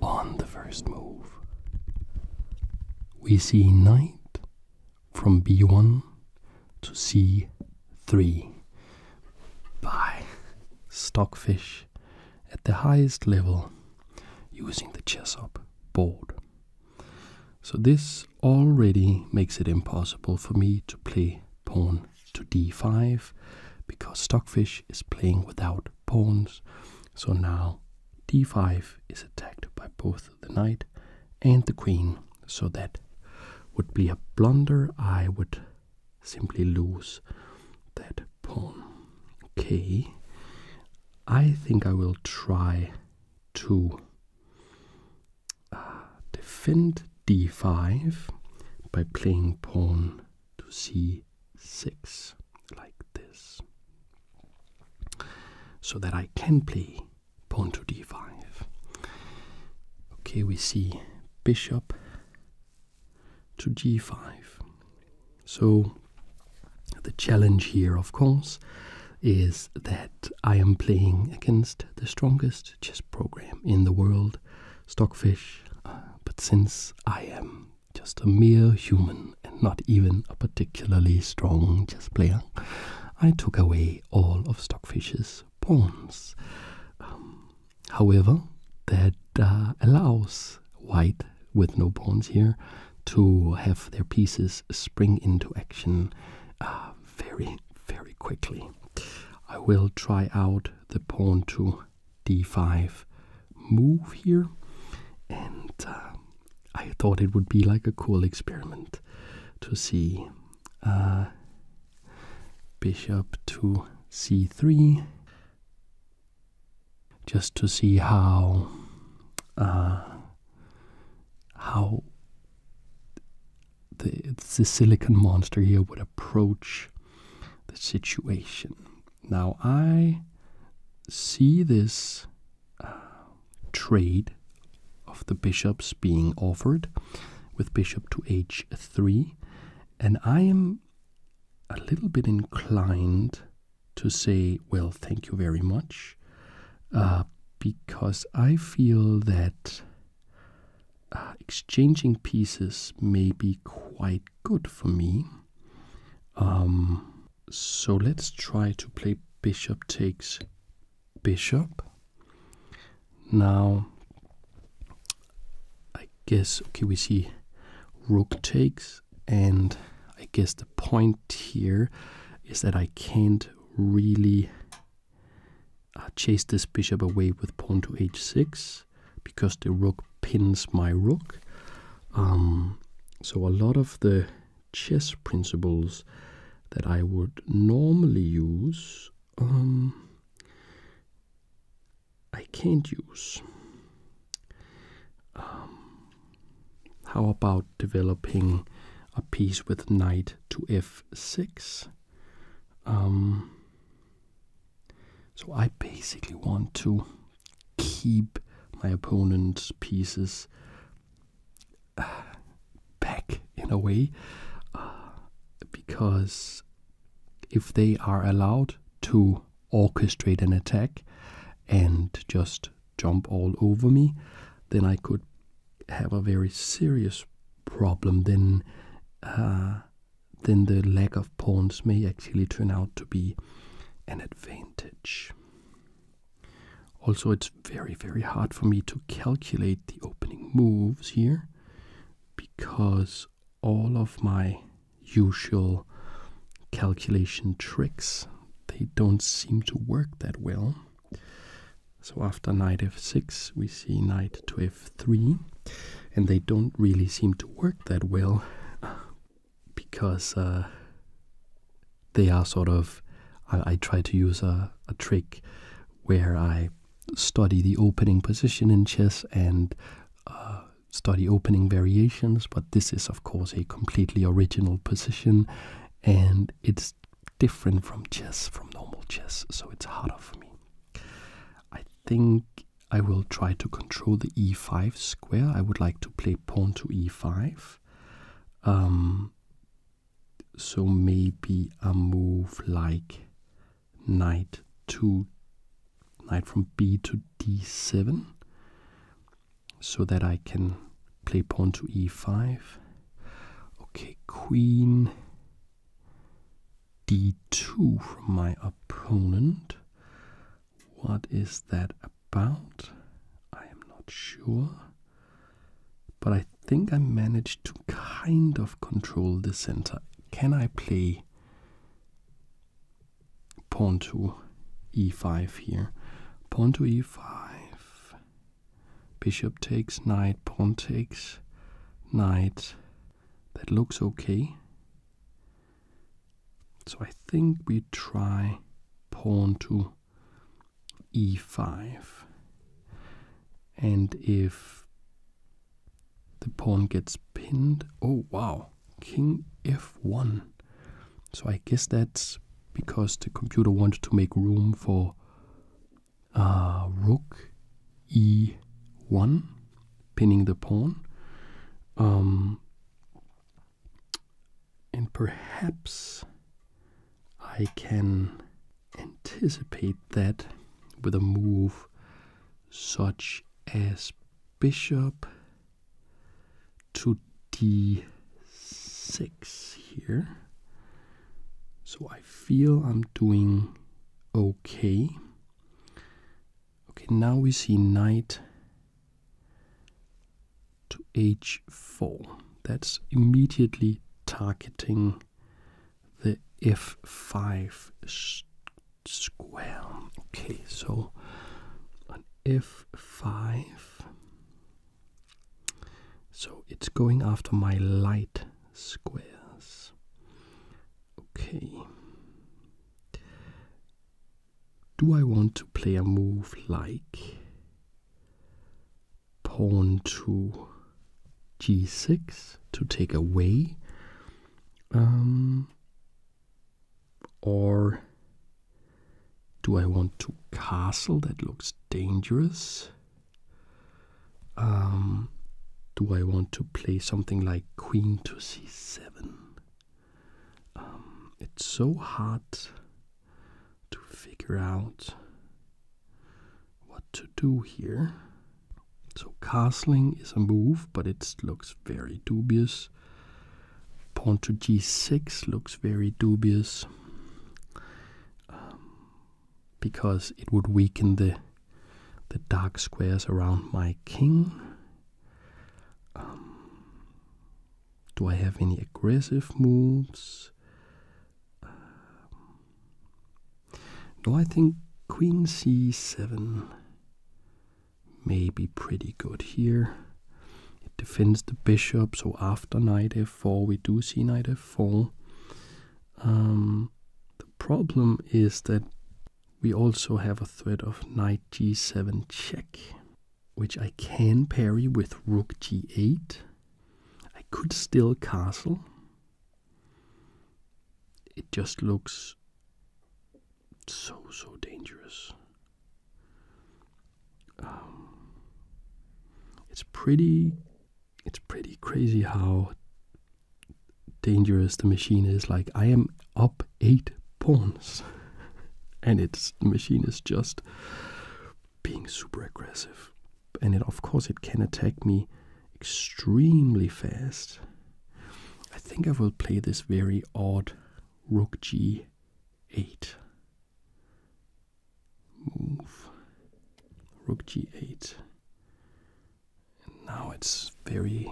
On the first move, we see knight from b1 to c3 by Stockfish at the highest level using the chess up board. So this already makes it impossible for me to play pawn to d5 because Stockfish is playing without pawns. So now d5 is attacked by both the knight and the queen. So that would be a blunder. I would simply lose that pawn. Okay. I think I will try to uh, defend d5 by playing pawn to c 6 like this so that I can play pawn to d5. Okay, we see bishop to g5. So the challenge here, of course, is that I am playing against the strongest chess program in the world stockfish, uh, but since I am just a mere human and not even a particularly strong chess player, I took away all of Stockfish's pawns. Um, however, that uh, allows white with no pawns here to have their pieces spring into action uh, very, very quickly. I will try out the pawn to d5 move here, and uh, I thought it would be like a cool experiment to see uh, bishop to c3 just to see how uh, how the, the silicon monster here would approach the situation. Now, I see this uh, trade of the bishops being offered with bishop to h3, and I am a little bit inclined to say, well, thank you very much, uh, because I feel that uh, exchanging pieces may be quite good for me. Um, so let's try to play bishop takes bishop. Now, I guess, okay, we see rook takes, and I guess the point here is that I can't really uh, chase this bishop away with pawn to h6 because the rook pins my rook. Um, so a lot of the chess principles that I would normally use, um, I can't use. Um, how about developing a piece with knight to f6? So I basically want to keep my opponent's pieces uh, back in a way uh, because if they are allowed to orchestrate an attack and just jump all over me, then I could have a very serious problem. Then uh, then the lack of pawns may actually turn out to be an advantage. Also, it's very, very hard for me to calculate the opening moves here because all of my usual calculation tricks they don't seem to work that well. So after knight f6, we see knight to Three, and they don't really seem to work that well because uh, they are sort of I, try to use a, a trick where I study the opening position in chess and uh, study opening variations, but this is of course a completely original position and it's different from chess, from normal chess, so it's harder for me. I think I will try to control the e5 square. I would like to play pawn to e5. Um, so maybe a move like knight to knight from b to d7 so that I can play pawn to e5. Okay, queen d2 from my opponent. What is that about? I am not sure. But I think I managed to kind of control the center. Can I play pawn to e5 here? Pawn to e5. Bishop takes, knight, pawn takes, knight. That looks okay. So I think we try pawn to e5. And if the pawn gets pinned, oh wow, king f1. So I guess that's because the computer wanted to make room for uh, rook e1, pinning the pawn. Um, and perhaps I can anticipate that with a move such as bishop to d6 here. So I feel I'm doing okay. Okay, now we see knight to h4. That's immediately targeting the f5 square. Okay, so on f5, so it's going after my light squares. Okay, do I want to play a move like pawn to g6 to take away? Um, or do I want to castle? That looks dangerous. Um, do I want to play something like queen to c7? Um, it's so hard to figure out what to do here. So, castling is a move, but it looks very dubious. Pawn to g6 looks very dubious um, because it would weaken the the dark squares around my king um, do I have any aggressive moves? Um, no, I think queen c7 may be pretty good here. It defends the bishop, so after knight f4, we do see knight f4. Um, the problem is that we also have a threat of knight g7 check, which I can parry with rook g8. I could still castle. It just looks so, so dangerous. Um, it's pretty it's pretty crazy how dangerous the machine is. Like, I am up eight pawns, and it's the machine is just being super aggressive. And of course, it can attack me extremely fast. I think I will play this very odd rook g8 move. Rook g8 and now it's very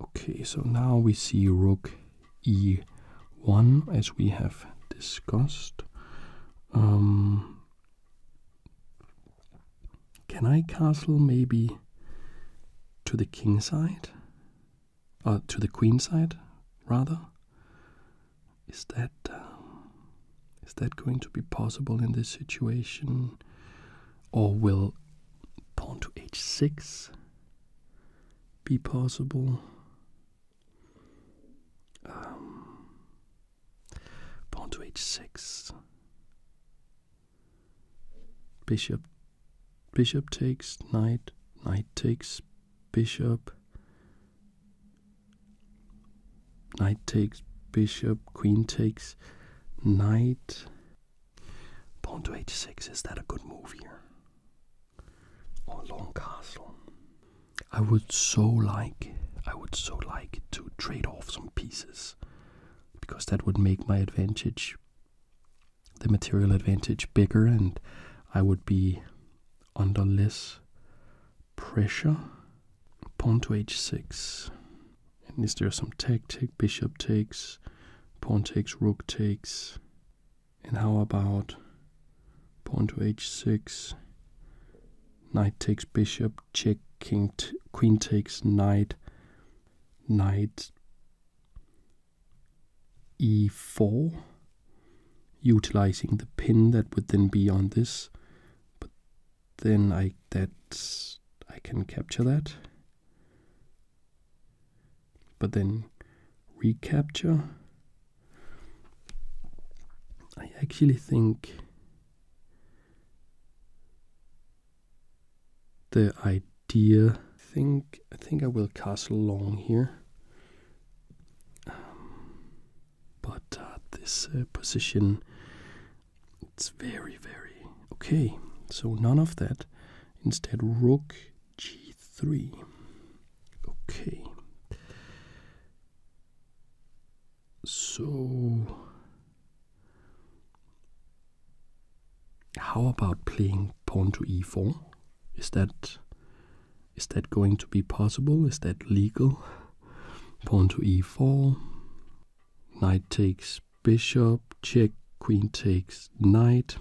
okay so now we see rook e1 as we have discussed um, can i castle maybe to the king side or uh, to the queen side rather is that um, is that going to be possible in this situation or will pawn to h6 be possible? Um, pawn to h6. Bishop bishop takes knight, knight takes bishop. Knight takes bishop, queen takes knight. Pawn to h6, is that a good move here? Or long castle? I would so like, I would so like to trade off some pieces, because that would make my advantage, the material advantage, bigger, and I would be under less pressure. Pawn to h6. And is there some tactic? bishop takes, pawn takes, rook takes? And how about pawn to h6, knight takes bishop, check, king queen takes knight, knight e4, utilizing the pin that would then be on this. But then I that I can capture that. But then recapture. I actually think the idea think I think I will cast long here. Um, but uh, this uh, position it's very, very okay. So none of that. Instead, rook g3. Okay. So, how about playing pawn to e4? Is that is that going to be possible? Is that legal? Pawn to e4. Knight takes bishop, check, queen takes knight.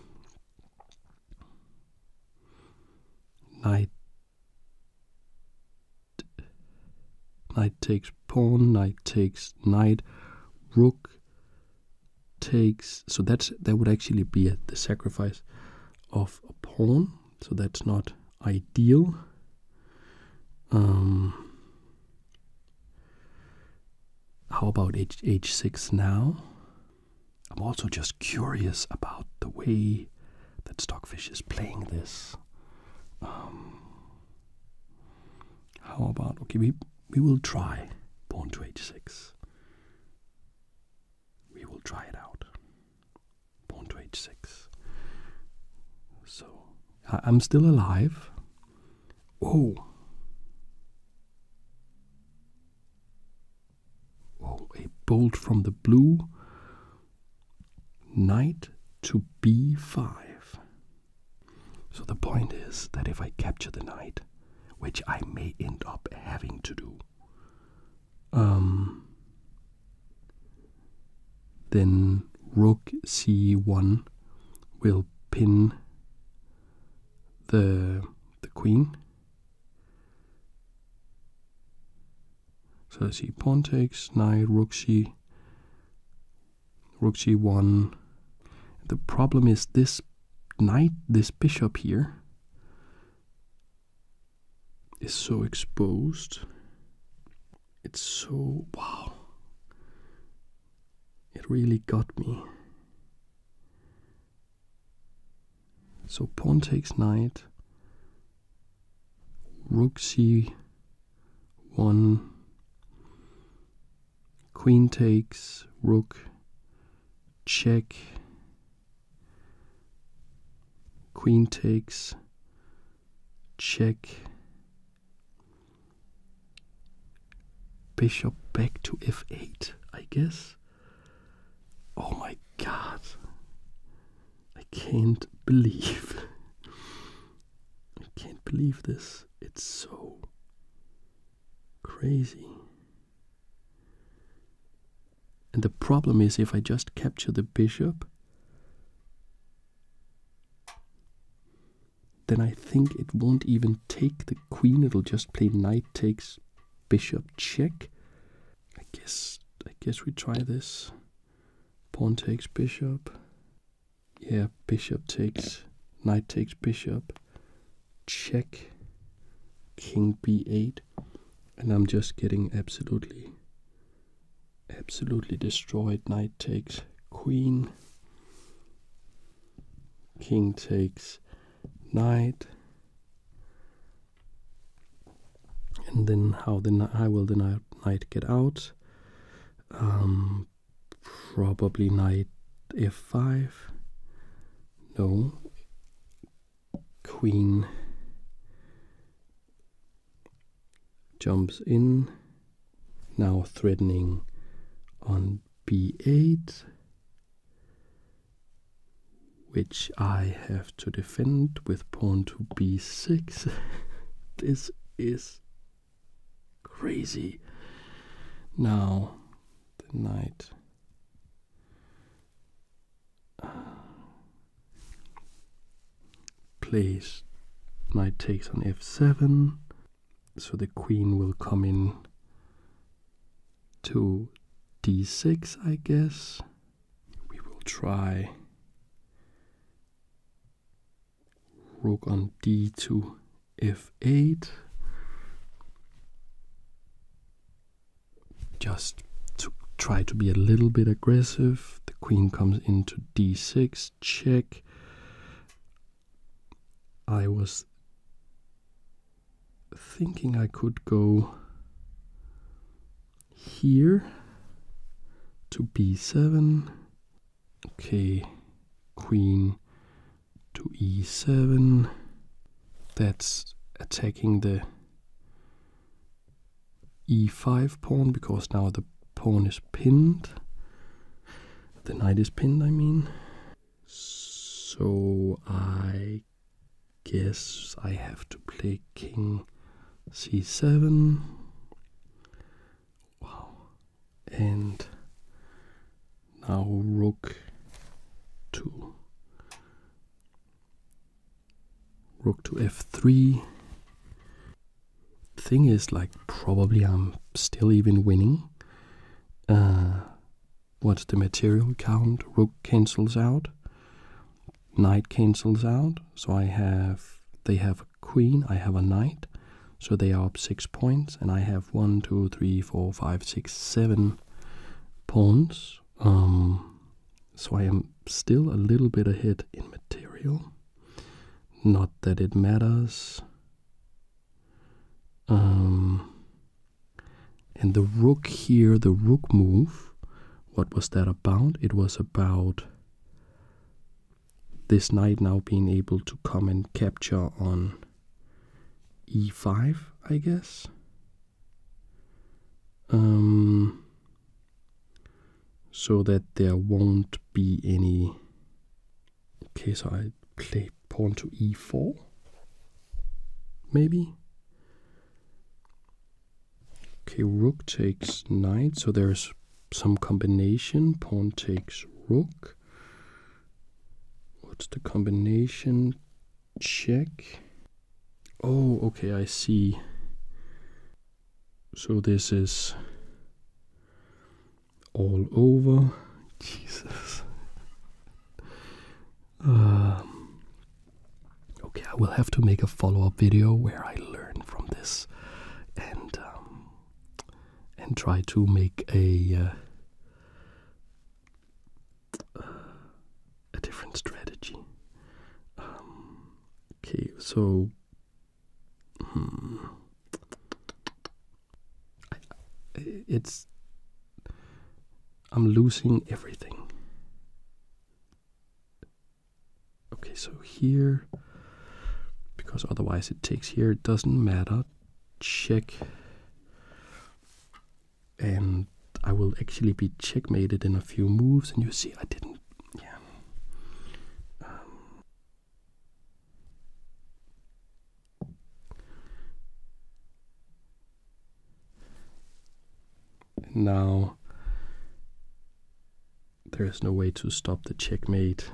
Knight knight takes pawn, knight takes knight, rook takes so that's that would actually be the sacrifice of a pawn, so that's not ideal. Um, how about H h6 now? I'm also just curious about the way that Stockfish is playing this. Um, how about okay? We we will try pawn to h6. We will try it out. Pawn to h6. So I'm still alive. Oh. Oh, a bolt from the blue. Knight to b5. So the point is that if I capture the knight, which I may end up having to do, um, then rook c1 will pin the the queen. So let's pawn takes, knight, rook she rook she one The problem is this knight, this bishop here, is so exposed it's so wow. It really got me. So pawn takes knight, rook c1, queen takes, rook, check, queen takes, check, Bishop back to f8, I guess. Oh my god. I can't believe. I can't believe this. It's so crazy. And the problem is if I just capture the bishop, then I think it won't even take the queen. It'll just play knight takes bishop check. I guess I guess we try this. Pawn takes bishop. Yeah, bishop takes knight takes bishop. Check. King b8. And I'm just getting absolutely absolutely destroyed. Knight takes queen. King takes knight. And then how the I will the knight get out? Um, probably knight f5. No. Queen jumps in. Now threatening on b8, which I have to defend with pawn to b6. this is crazy. Now the knight. Uh, plays knight takes on f7 so the queen will come in to d6, I guess. We will try rook on d2, f8. Just to try to be a little bit aggressive. The queen comes into d6, check. I was thinking I could go here to b7 okay queen to e7 that's attacking the e5 pawn because now the pawn is pinned. The knight is pinned, I mean. So I guess I have to play king c7. Wow. And now rook 2. Rook to f3 thing is, like, probably I'm still even winning. Uh, what's the material count? Rook cancels out. Knight cancels out. So I have, they have a queen, I have a knight. So they are up six points, and I have one, two, three, four, five, six, seven pawns. Um, so I am still a little bit ahead in material. Not that it matters. Um, and the rook here, the rook move, what was that about? It was about this knight now being able to come and capture on e5, I guess. Um, so that there won't be any Okay, so I play pawn to e4, maybe. Okay, rook takes knight, so there's some combination. Pawn takes rook. What's the combination? Check. Oh, okay, I see. So this is all over. Jesus. Um, okay, I will have to make a follow up video where I learn from this and um, and try to make a uh, a different strategy. Um, okay, so Hmm. I, it's. I'm losing everything. Okay, so here, because otherwise it takes here, it doesn't matter. Check. And I will actually be checkmated in a few moves, and you see, I didn't. Yeah. Um, now there is no way to stop the checkmate.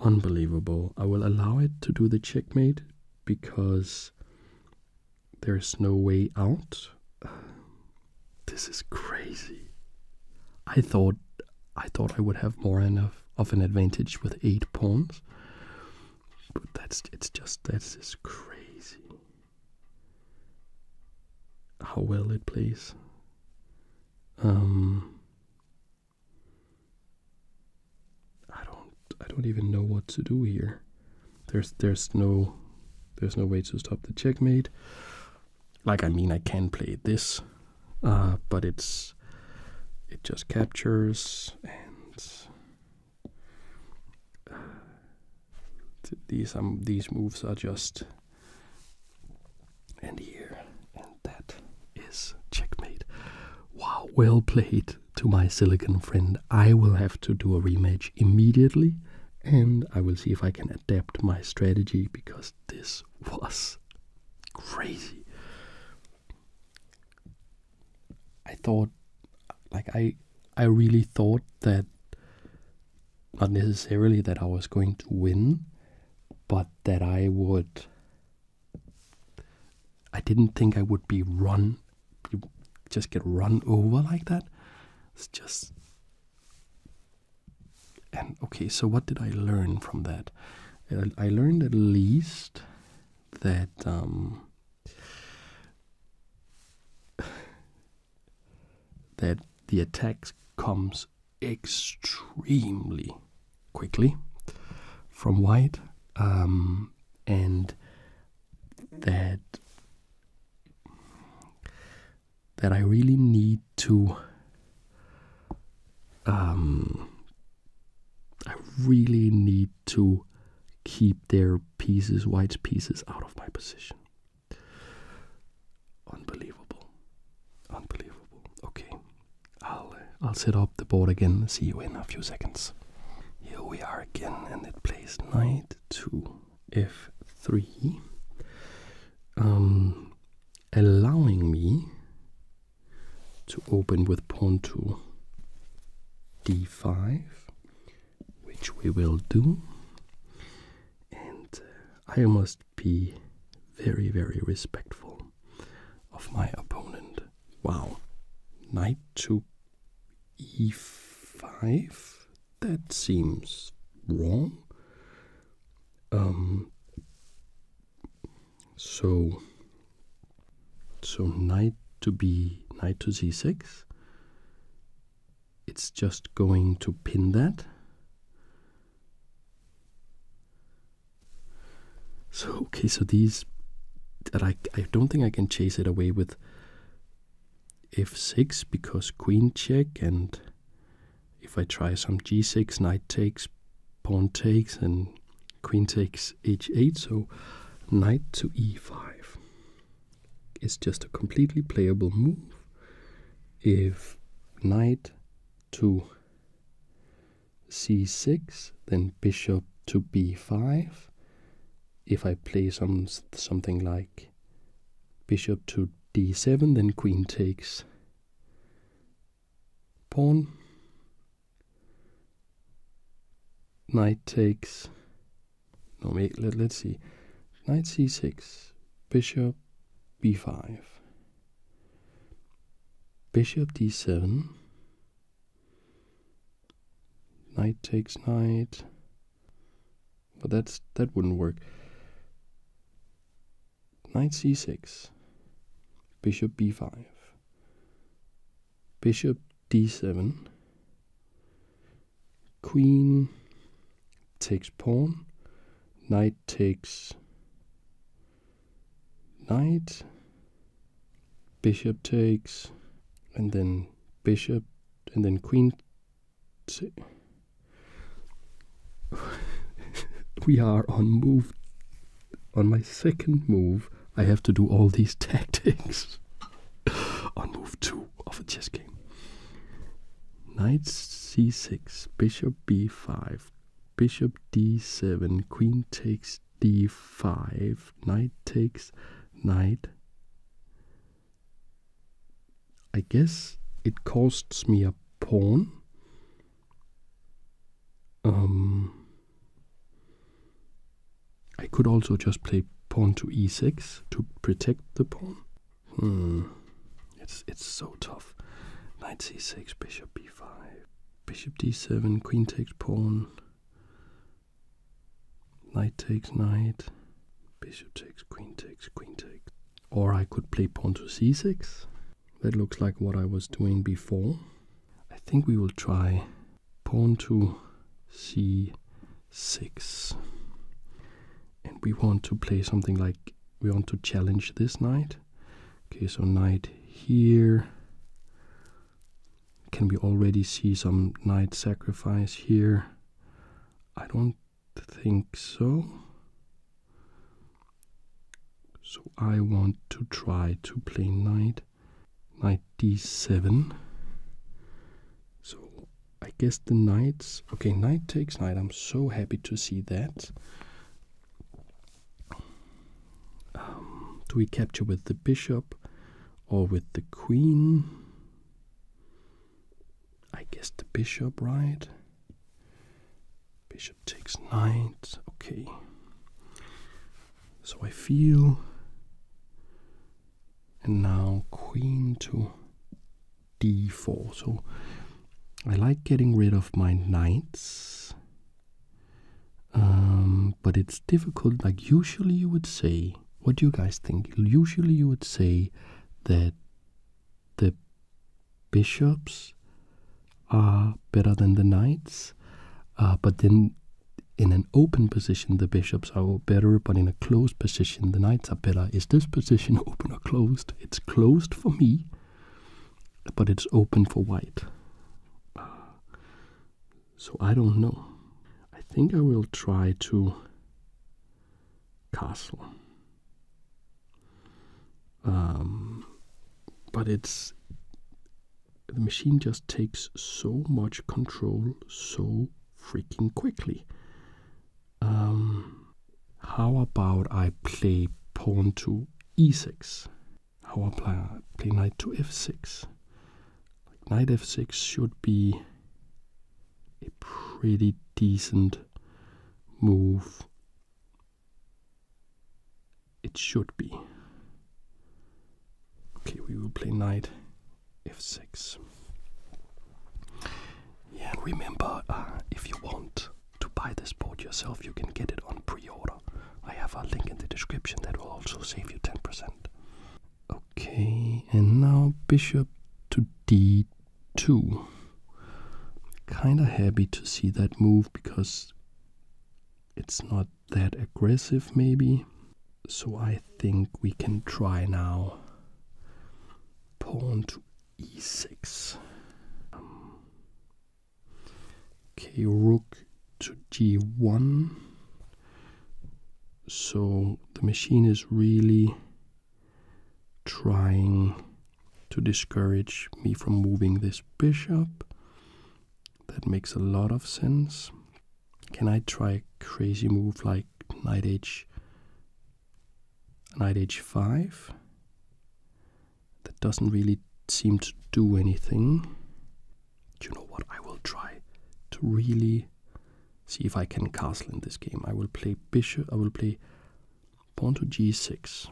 Unbelievable. I will allow it to do the checkmate because there is no way out. This is crazy. I thought I thought I would have more enough of an advantage with eight pawns. But that's it's just that's just crazy. How well it plays. Um I don't I don't even know what to do here. There's there's no there's no way to stop the checkmate. Like, I mean, I can play this, uh, but it's it just captures and uh, these um these moves are just and here and that is checkmate. Wow, well played to my silicon friend. I will have to do a rematch immediately and I will see if I can adapt my strategy because this was crazy. I thought, like I, I really thought that, not necessarily that I was going to win, but that I would. I didn't think I would be run, just get run over like that. It's just and okay, so what did I learn from that? I learned at least that um, that the attack comes extremely quickly from white, um, and that that I really need to. Um, I really need to keep their pieces, white pieces, out of my position. Unbelievable, unbelievable. Okay, I'll uh, I'll set up the board again. See you in a few seconds. Here we are again, and it plays knight to f3. Um, allowing me to open with pawn to d5, which we will do. And uh, I must be very, very respectful of my opponent. Wow, knight to e5? That seems wrong. Um, so so knight to b knight to c6 it's just going to pin that so okay so these I, I don't think I can chase it away with f6 because queen check and if I try some g6, knight takes, pawn takes, and queen takes h8, so knight to e5. It's just a completely playable move if knight to c6, then bishop to b5. If I play some something like bishop to d7, then queen takes pawn. Knight takes. No, wait, let, let's see. Knight c6, bishop b5, bishop d7, knight takes knight. But that's that wouldn't work knight c6, bishop b5, bishop d7, queen takes pawn, knight takes knight, bishop takes, and then bishop, and then queen we are on move. On my second move, I have to do all these tactics. on move two of a chess game. Knight c6, bishop b5, bishop d7, queen takes d5, knight takes knight. I guess it costs me a pawn. Um, I could also just play pawn to e6 to protect the pawn. Hmm. It's it's so tough. Knight c6, bishop b5, bishop d7, queen takes pawn, knight takes knight, bishop takes, queen takes, queen takes. Or I could play pawn to c6 that looks like what I was doing before. I think we will try pawn to c6. And we want to play something like we want to challenge this knight. Okay, so knight here. Can we already see some knight sacrifice here? I don't think so. So I want to try to play knight knight d7. So I guess the knights. Okay, knight takes knight. I'm so happy to see that. Um, do we capture with the bishop or with the queen? I guess the bishop, right? Bishop takes knight. Okay. So I feel. And now queen to d4. So I like getting rid of my knights. Um, but it's difficult. Like, usually you would say, what do you guys think? Usually you would say that the bishops are better than the knights, uh, but then in an open position the bishops are better, but in a closed position the knights are better. Is this position open or closed? It's closed for me, but it's open for white. So I don't know. I think I will try to castle um, but it's the machine just takes so much control so freaking quickly. Um, how about I play pawn to e6? How about I play knight to f6? Like knight f6 should be a pretty decent move it should be. Okay, we will play knight f6. Yeah, and remember, uh, if you want to buy this board yourself, you can get it on pre-order. I have a link in the description that will also save you 10%. Okay, and now bishop to d2. Kinda happy to see that move because it's not that aggressive, maybe. So I think we can try now pawn to e6. Um, rook to g1. So the machine is really trying to discourage me from moving this bishop. That makes a lot of sense. Can I try a crazy move like knight h knight h5? That doesn't really seem to do anything. Do you know what? I will try to really see if I can castle in this game. I will play bishop I will play pawn to g6.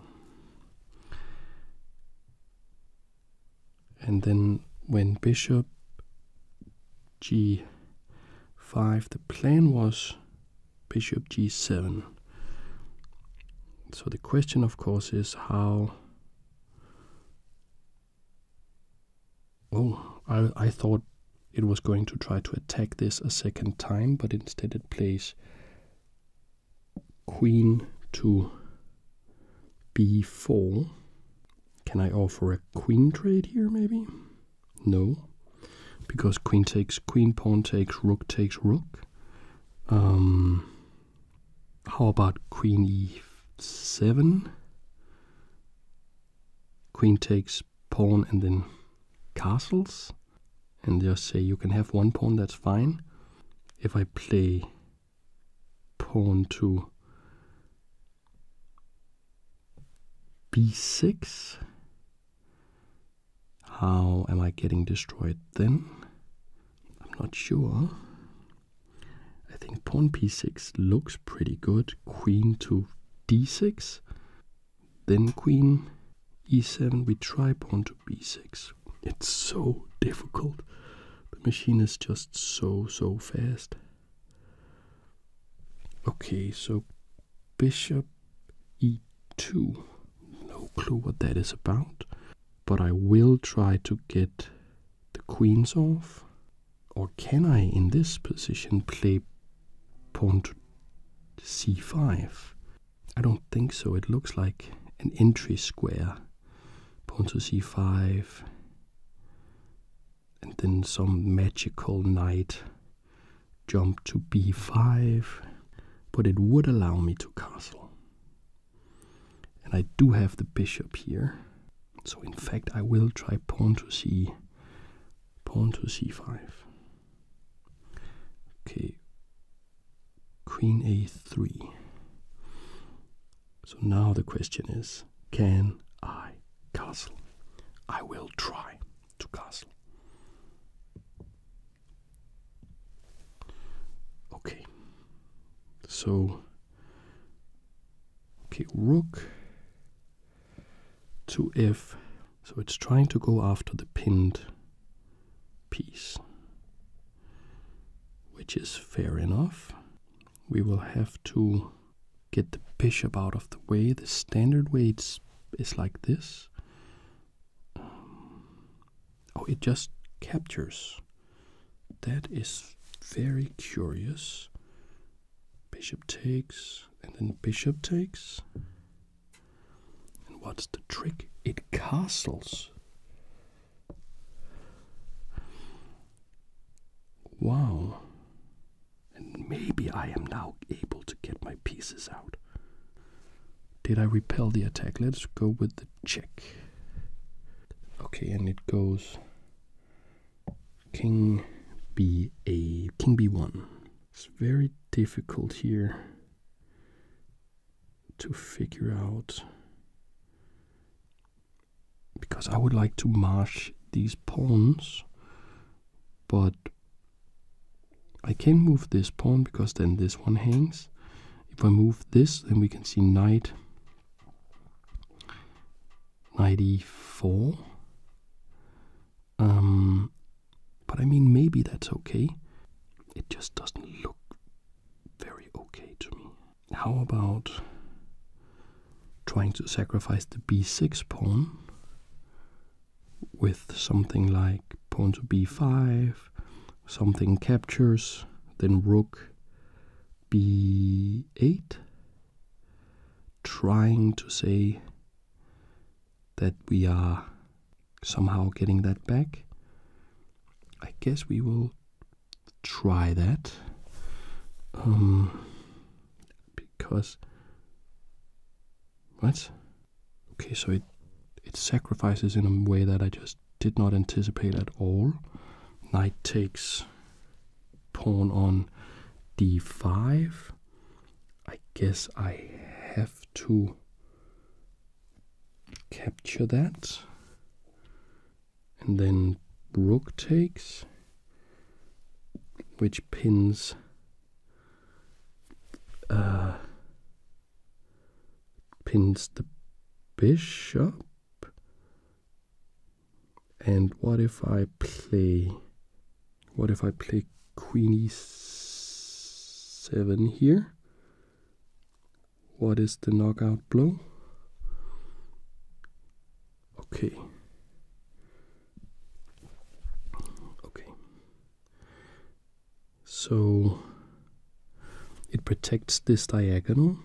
And then when bishop g5, the plan was bishop g7. So the question, of course, is how. Oh, I, I thought it was going to try to attack this a second time, but instead it plays queen to b4. Can I offer a queen trade here, maybe? No, because queen takes queen, pawn takes rook takes rook. Um, how about queen e7? Queen takes pawn and then castles and just say you can have one pawn, that's fine. If I play pawn to b6, how am I getting destroyed then? I'm not sure. I think pawn p6 looks pretty good. Queen to d6, then queen e7 we try pawn to b6 it's so difficult the machine is just so so fast okay so bishop e2 no clue what that is about but i will try to get the queens off or can i in this position play pawn to c5 I don't think so. It looks like an entry square. Pawn to c5. And then some magical knight jump to b5. But it would allow me to castle. And I do have the bishop here. So in fact I will try pawn to c pawn to c5. Okay, Queen a3. So now the question is can I castle? I will try to castle. Okay. So okay, rook to f. So it's trying to go after the pinned piece which is fair enough. We will have to get the bishop out of the way. The standard way is like this. Um, oh, it just captures. That is very curious. Bishop takes, and then bishop takes. And what's the trick? It castles. Wow. And maybe I am now able to get my pieces out. Did I repel the attack? Let's go with the check. Okay, and it goes King b King B1. It's very difficult here to figure out because I would like to march these pawns, but I can move this pawn because then this one hangs. If I move this, then we can see knight knight e4. Um, but I mean, maybe that's okay. It just doesn't look very okay to me. How about trying to sacrifice the b6 pawn with something like pawn to b5, something captures, then rook b8, trying to say that we are somehow getting that back. I guess we will try that. Um, because what? Okay, so it it sacrifices in a way that I just did not anticipate at all. Knight takes pawn on d5. I guess I have to capture that, and then rook takes, which pins uh, pins the bishop. And what if I play? What if I play queen e7 here? What is the knockout blow? Okay. Okay. So it protects this diagonal.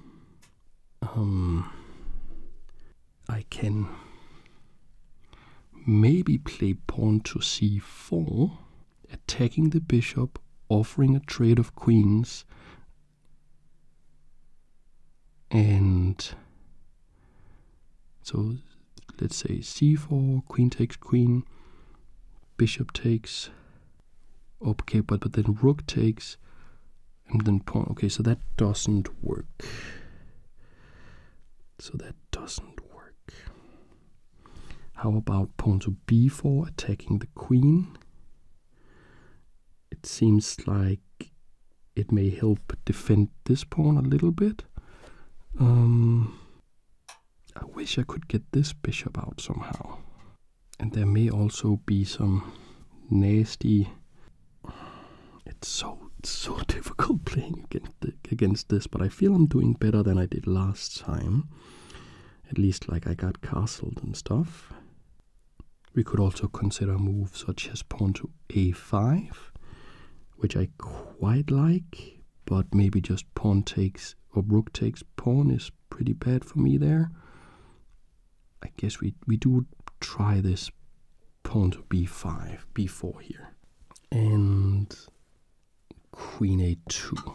Um, I can maybe play pawn to c4 attacking the bishop, offering a trade of queens, and so let's say c4, queen takes queen, bishop takes, okay, but, but then rook takes, and then pawn. Okay, so that doesn't work. So that doesn't work. How about pawn to b4, attacking the queen? It seems like it may help defend this pawn a little bit. Um, I wish I could get this bishop out somehow. And there may also be some nasty... It's so, so difficult playing against, against this, but I feel I'm doing better than I did last time at least like I got castled and stuff. We could also consider moves such as pawn to a5, which I quite like, but maybe just pawn takes or rook takes pawn is pretty bad for me there. I guess we, we do try this pawn to b5, b4 here. And queen a2.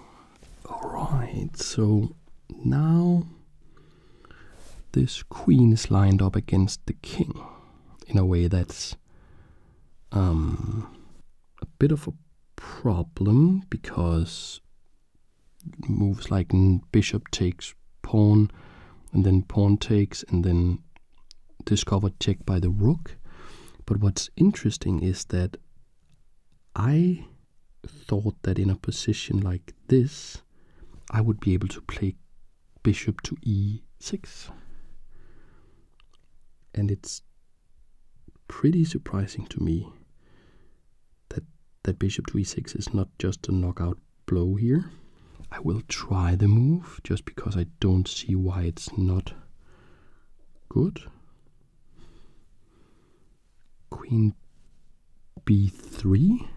Alright, so now this queen is lined up against the king in a way that's um, a bit of a problem because moves like bishop takes pawn and then pawn takes and then discovered check by the rook. But what's interesting is that I thought that in a position like this, I would be able to play bishop to e6. And it's pretty surprising to me that, that bishop to e6 is not just a knockout blow here. I will try the move just because I don't see why it's not good. Queen b3.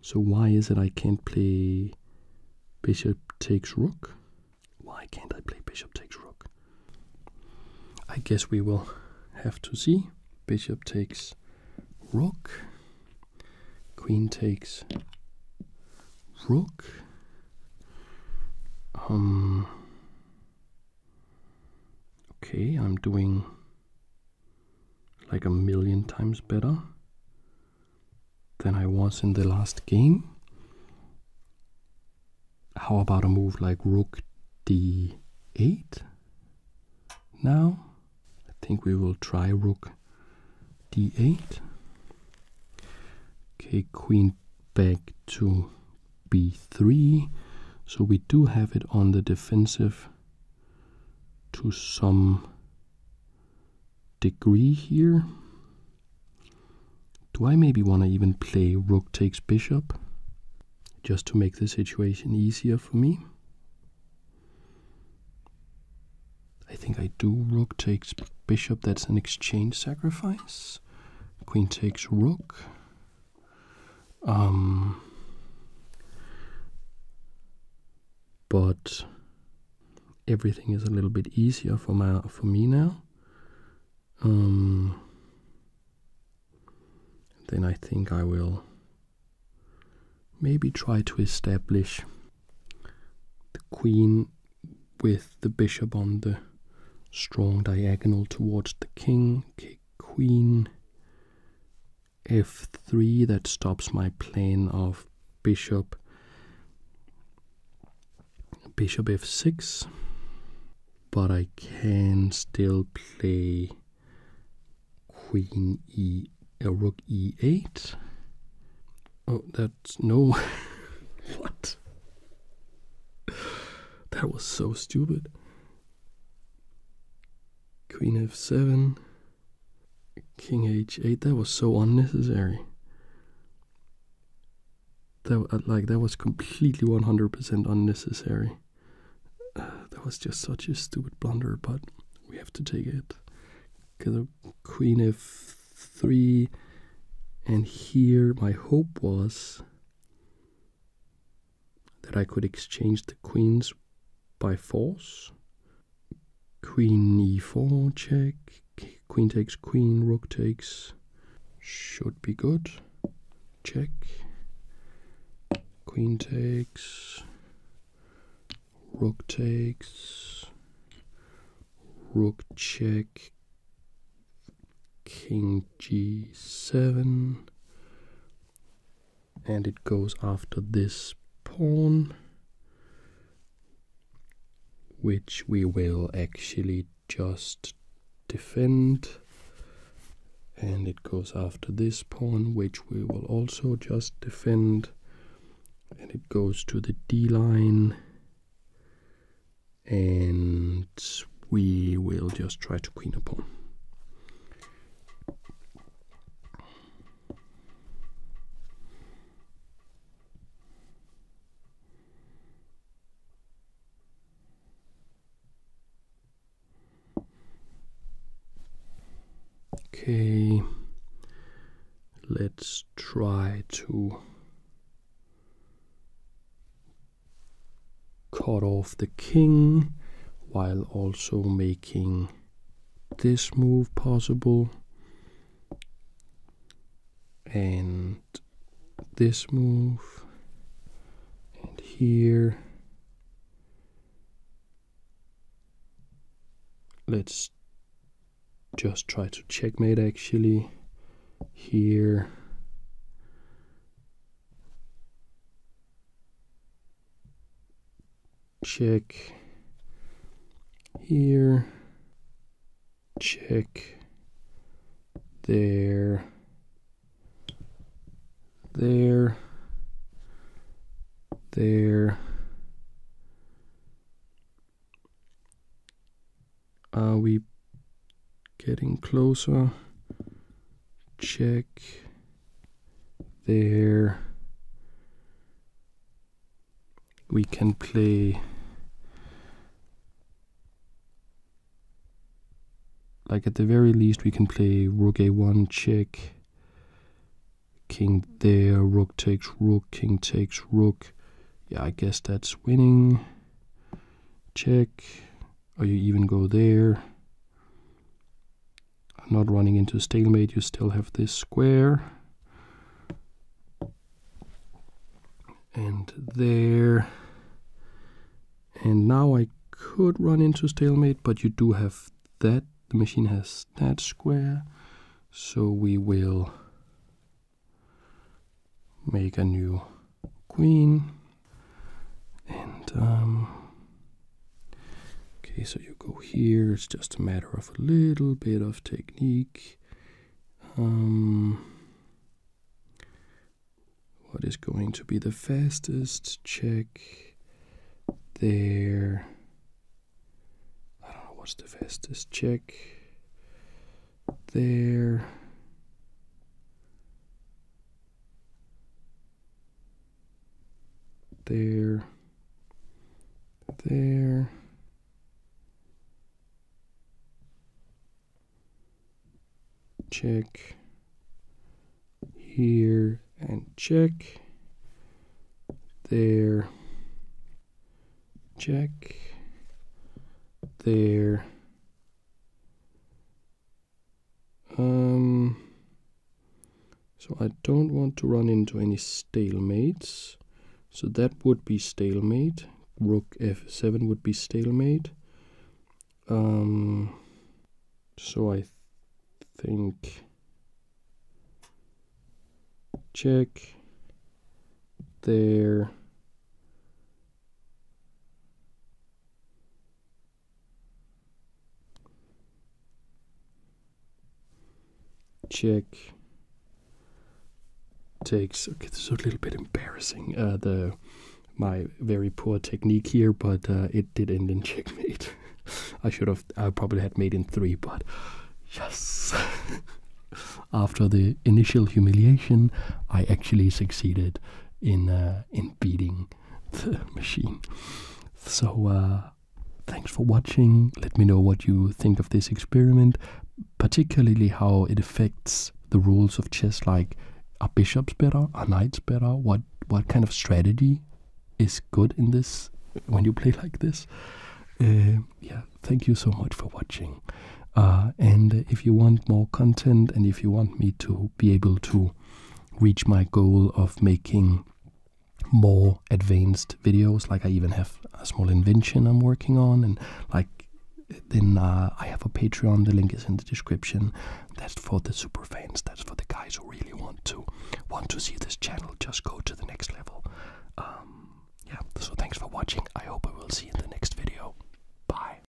So why is it I can't play bishop takes rook? Why can't I play bishop takes rook? I guess we will have to see. Bishop takes rook. Queen takes rook. Um, Okay, I'm doing like a million times better than I was in the last game. How about a move like rook d8 now? I think we will try rook d8. Okay, queen back to b3. So we do have it on the defensive to some degree here. Do I maybe want to even play rook takes bishop just to make the situation easier for me? I think I do. Rook takes bishop. That's an exchange sacrifice. Queen takes rook. Um, but everything is a little bit easier for my for me now. Um, then I think I will maybe try to establish the queen with the bishop on the strong diagonal towards the king, queen, f3, that stops my plan of bishop, bishop f6, but I can still play queen e, uh, rook e8. Oh, that's, no, what? That was so stupid. Queen f7, King h8. That was so unnecessary. That uh, like that was completely 100% unnecessary. that was just such a stupid blunder, but we have to take it. Cause Queen f3, and here my hope was that I could exchange the queens by force. Queen e4 check, queen takes queen, rook takes, should be good. Check, queen takes, rook takes, rook check, king g7 and it goes after this pawn which we will actually just defend and it goes after this pawn which we will also just defend and it goes to the d line and we will just try to queen a pawn. Okay, let's try to cut off the king while also making this move possible and this move and here let's just try to checkmate actually here check here, check there, there, there, are we getting closer? Check there. We can play like at the very least we can play rook a1 check king there rook takes rook king takes rook yeah i guess that's winning check or you even go there not running into stalemate you still have this square and there and now I could run into stalemate but you do have that the machine has that square so we will make a new queen, and um, okay, so you go here. It's just a matter of a little bit of technique. Um, what is going to be the fastest check there? I don't know what's the fastest check there. There. There. Check here and check there check there um, so I don't want to run into any stalemates. So that would be stalemate. Rook f7 would be stalemate. Um, so I think check there Check takes. Okay, this is a little bit embarrassing. Uh, the my very poor technique here, but uh, it did end in checkmate. I should have. I probably had made in three, but yes. After the initial humiliation, I actually succeeded in uh, in beating the machine. So uh, thanks for watching. Let me know what you think of this experiment, particularly how it affects the rules of chess. Like, are bishops better? Are knights better? What what kind of strategy is good in this when you play like this? Uh, yeah, thank you so much for watching. Uh, and if you want more content and if you want me to be able to reach my goal of making more advanced videos, like I even have a small invention I'm working on, and like then uh, I have a Patreon. The link is in the description. That's for the super fans. That's for the guys who really want to want to see this channel just go to the next level. Um, yeah. So thanks for watching. I hope I will see you in the next video. Bye.